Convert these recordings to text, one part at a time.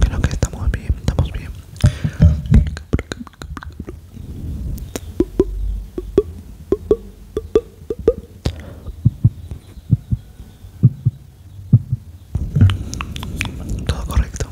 Creo que estamos bien, estamos bien. Todo correcto.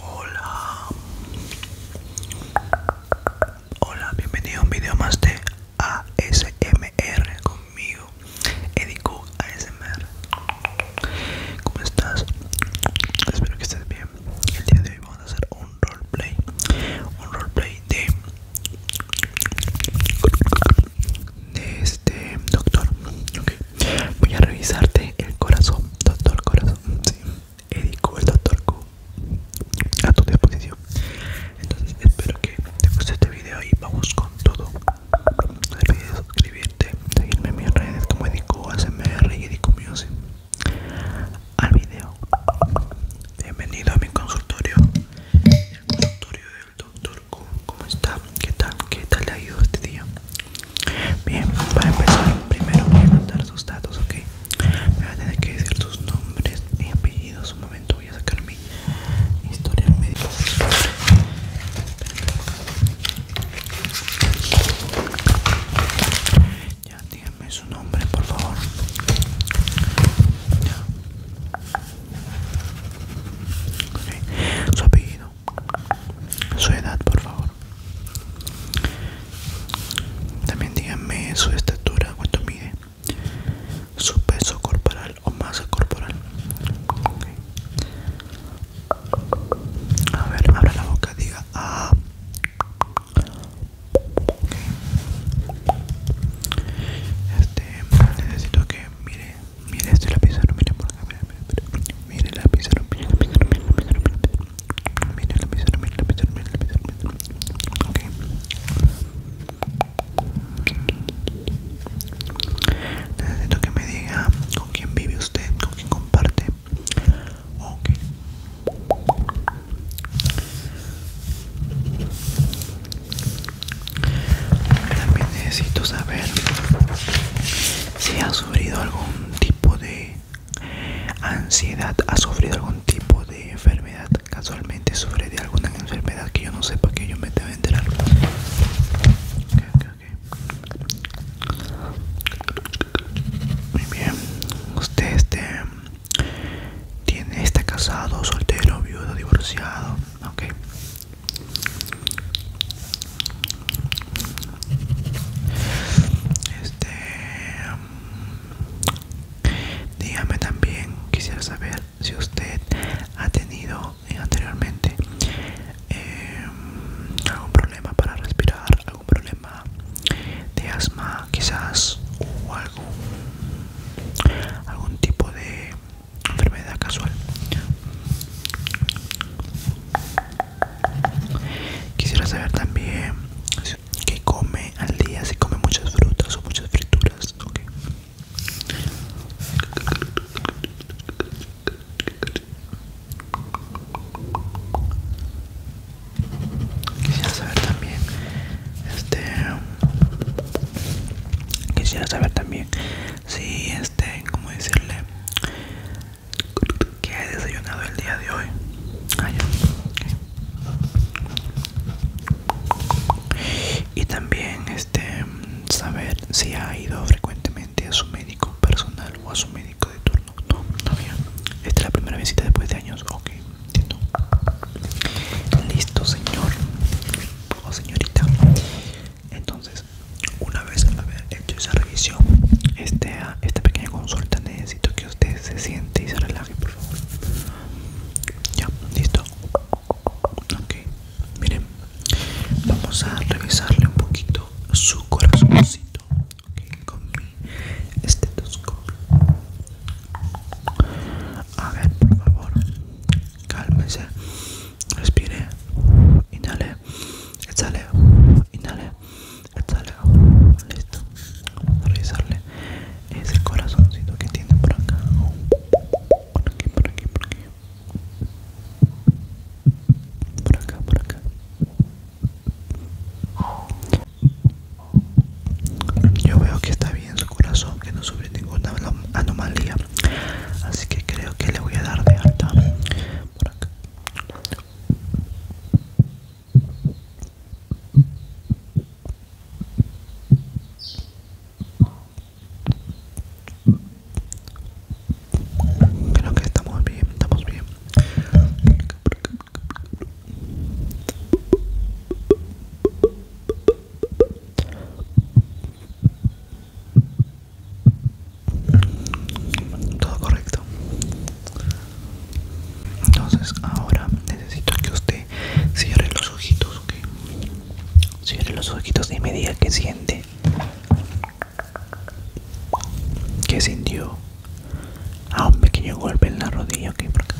Hola. Hola, bienvenido a un video más de ASMR conmigo Edico ASMR ¿Cómo estás? Espero que estés bien El día de hoy vamos a hacer un roleplay Un roleplay de de este doctor voy a revisarte el corazón doctor corazón sí. Edico el doctor Q a tu disposición entonces espero que te guste este video y vamos con todo no olvides suscribirte, seguirme en mis redes como Edico ASMR y Edico Al video. Bienvenido a mi consultorio. El consultorio del doctor como ¿Cómo está? ¿Qué tal? ¿Qué tal le ha ido este día? Bien, para empezar, primero voy a mandar sus datos, ¿ok? Me va a tener que decir sus nombres y apellidos. Un momento voy a sacar mi Historia del médico. Ya, díganme su nombre, por favor. Su apellido. Su edad, por favor. También díganme su estatura, cuánto mide su peso corporal o masa corporal. A ver, abra la boca, diga ah. Este, necesito que mire, mire este mire por mire, mire, mire mire la mire la pizarra mire mire mire mire Necesito que me diga con quién vive usted, con quién comparte. Ok. También necesito saber si ha sufrido algún tipo de ansiedad, ha sufrido algún tipo de enfermedad casualmente sufre de alguna enfermedad que yo no sé para que yo me debo enterar. Muy bien. Usted este, tiene está casado, soltero, viudo, divorciado. Ok Este, dígame también, quisiera saber si usted ha tenido anteriormente em, algún problema para respirar, algún problema de asma quizás o algún, algún tipo de enfermedad casual. Quisiera saber también qué come al día, si come muchas frutas o muchas frituras. Quisiera saber también, este, quisiera saber también si, este, cómo decirle, que he desayunado el día de hoy. Ah, y también este saber si ha ido frecuentemente a su médico personal o a su médico de turno no no esta es la primera visita después de años ok entiendo listo señor o señorita entonces una vez haya hecho esa revisión este, esta pequeña consulta necesito que usted se siente y se relaje por favor ya listo Ok, miren, vamos a revisarle un poquito su corazoncito con mi estetoscopio. A ver, por favor, cálmese, respire, inhale, exhale, inhale, exhale, listo. Vamos a revisarle es ese corazoncito que tiene por acá por aquí por aquí por aquí por acá por acá yo veo que está bien su corazón que no sufre ninguna anomalía así que creo que le voy a dar de alta por acá Creo que estamos bien, estamos bien. Todo correcto. Entonces ahora necesito que usted cierre los ojitos, ¿ok? Cierre los ojitos y me diga qué siente. que sintió? a ah, un pequeño golpe en la rodilla, ok, por acá.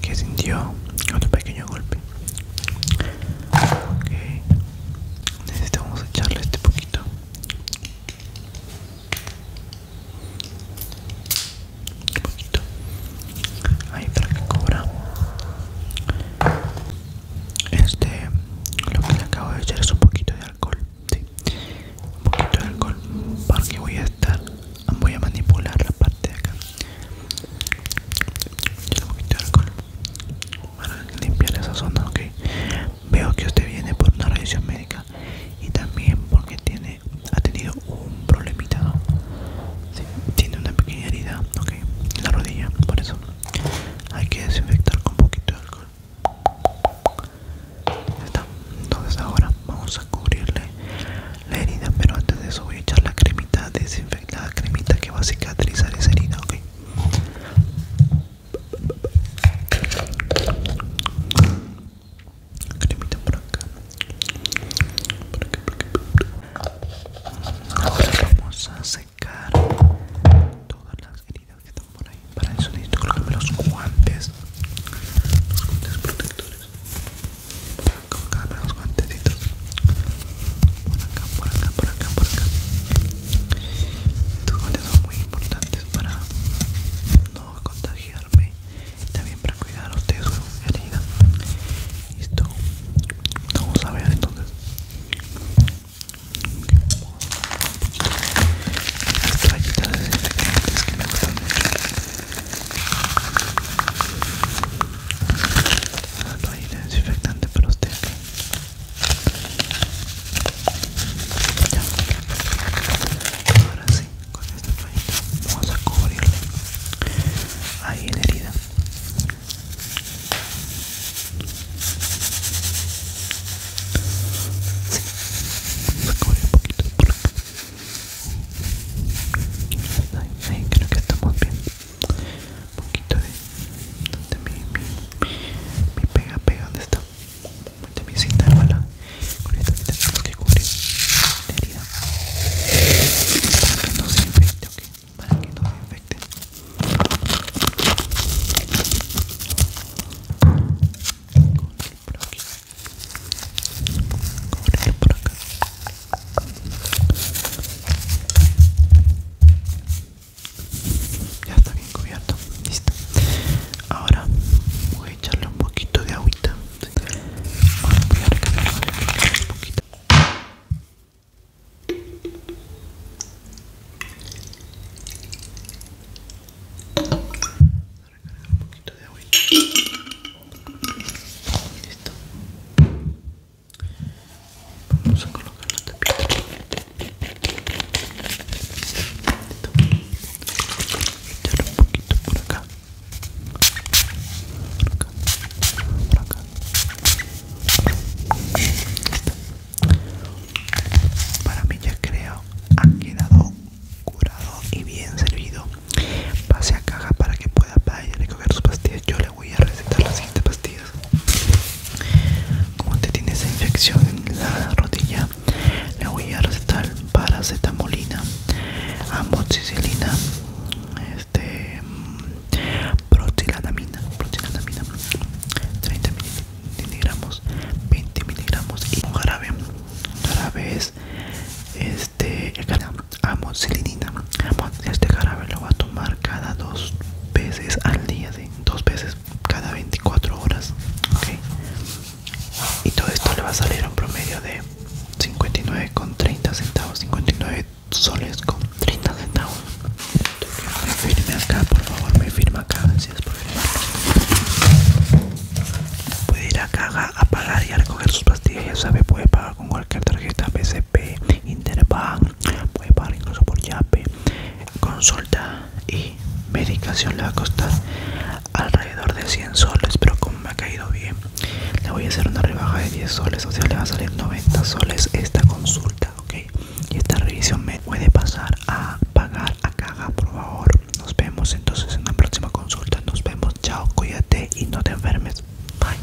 ¿Qué sintió? Otro pequeño golpe. Ok. Necesitamos echarle este poquito. Un poquito ahí para que cobra este lo que le acabo de echar es un poquito de alcohol sí. un poquito de alcohol porque voy a estar voy a manipular la parte de acá un poquito de alcohol para limpiar esa zona ok veo que usted viene por una revisión médica y también porque tiene ha tenido un problemita tiene una pequeña herida en la rodilla por eso hay que desinfectar con poquito de alcohol está entonces ahora vamos a cubrirle la herida pero antes de eso voy a echar la cremita desinfectada cremita que va a cicatrizar esa herida cremita por acá por acá, por acá. Ahora vamos a secar todas las heridas que están por ahí para eso necesito colocarme los guantes los guantes protectores colocarme los guantecitos por acá, por acá, por acá, por acá estos guantes son muy importantes para no contagiarme y también para cuidar a ustedes con su herida listo vamos a ver entonces las toallitas desinfectantes que me gustan mucho las toallita desinfectantes para ustedes ya. Ahora sí, con esta toallita vamos a cubrirle ahí la herida. Sí, vamos a cubrir un poquito por aquí. creo que estamos bien. Un poquito de donde mi, mi, mi pega pega, ¿dónde está? también sin dar bala. Con esto aquí tenemos que cubrir la herida para que no se infecte, ¿ok? Para que no se infecte. Cubrir por aquí. Cubrir por acá. Ya está bien cubierto, listo. Ahora voy a echarle un poquito de agüita. Ahora voy a recargar un poquito. Voy a recargar un poquito de agüita. listo. Vamos a colocar la tapita. Para mí ya creo ha quedado curado y bien servido. Pase a caja para que pueda recoger sus pastillas. Yo le voy a recetar las siguientes pastillas. Como usted tiene esa infección en la rodilla, le voy a recetar paracetamolina, amoxicilina, este, 30 miligramos, 20 miligramos y un jarabe, un jarabe es este, amoxilinina, este jarabe lo voy a tomar cada dos veces al día, dos veces cada 24 horas ¿okay? y todo esto le va a salir un promedio de 59,30 centavos 59 soles con 30 centavos acá por favor me firma acá si es puede ir a a pagar y a recoger sus pastillas sabe puede pagar con cualquier tarjeta BCP Interbank puede pagar incluso por yape consulta y medicación le va a costar alrededor de 100 soles pero como me ha caído bien le voy a hacer una rebaja de 10 soles o sea le va a salir 90 soles esta consulta ok y esta revisión me puede pasar a pagar a caja por favor nos vemos entonces en la próxima consulta nos vemos chao cuídate y no te enfermes bye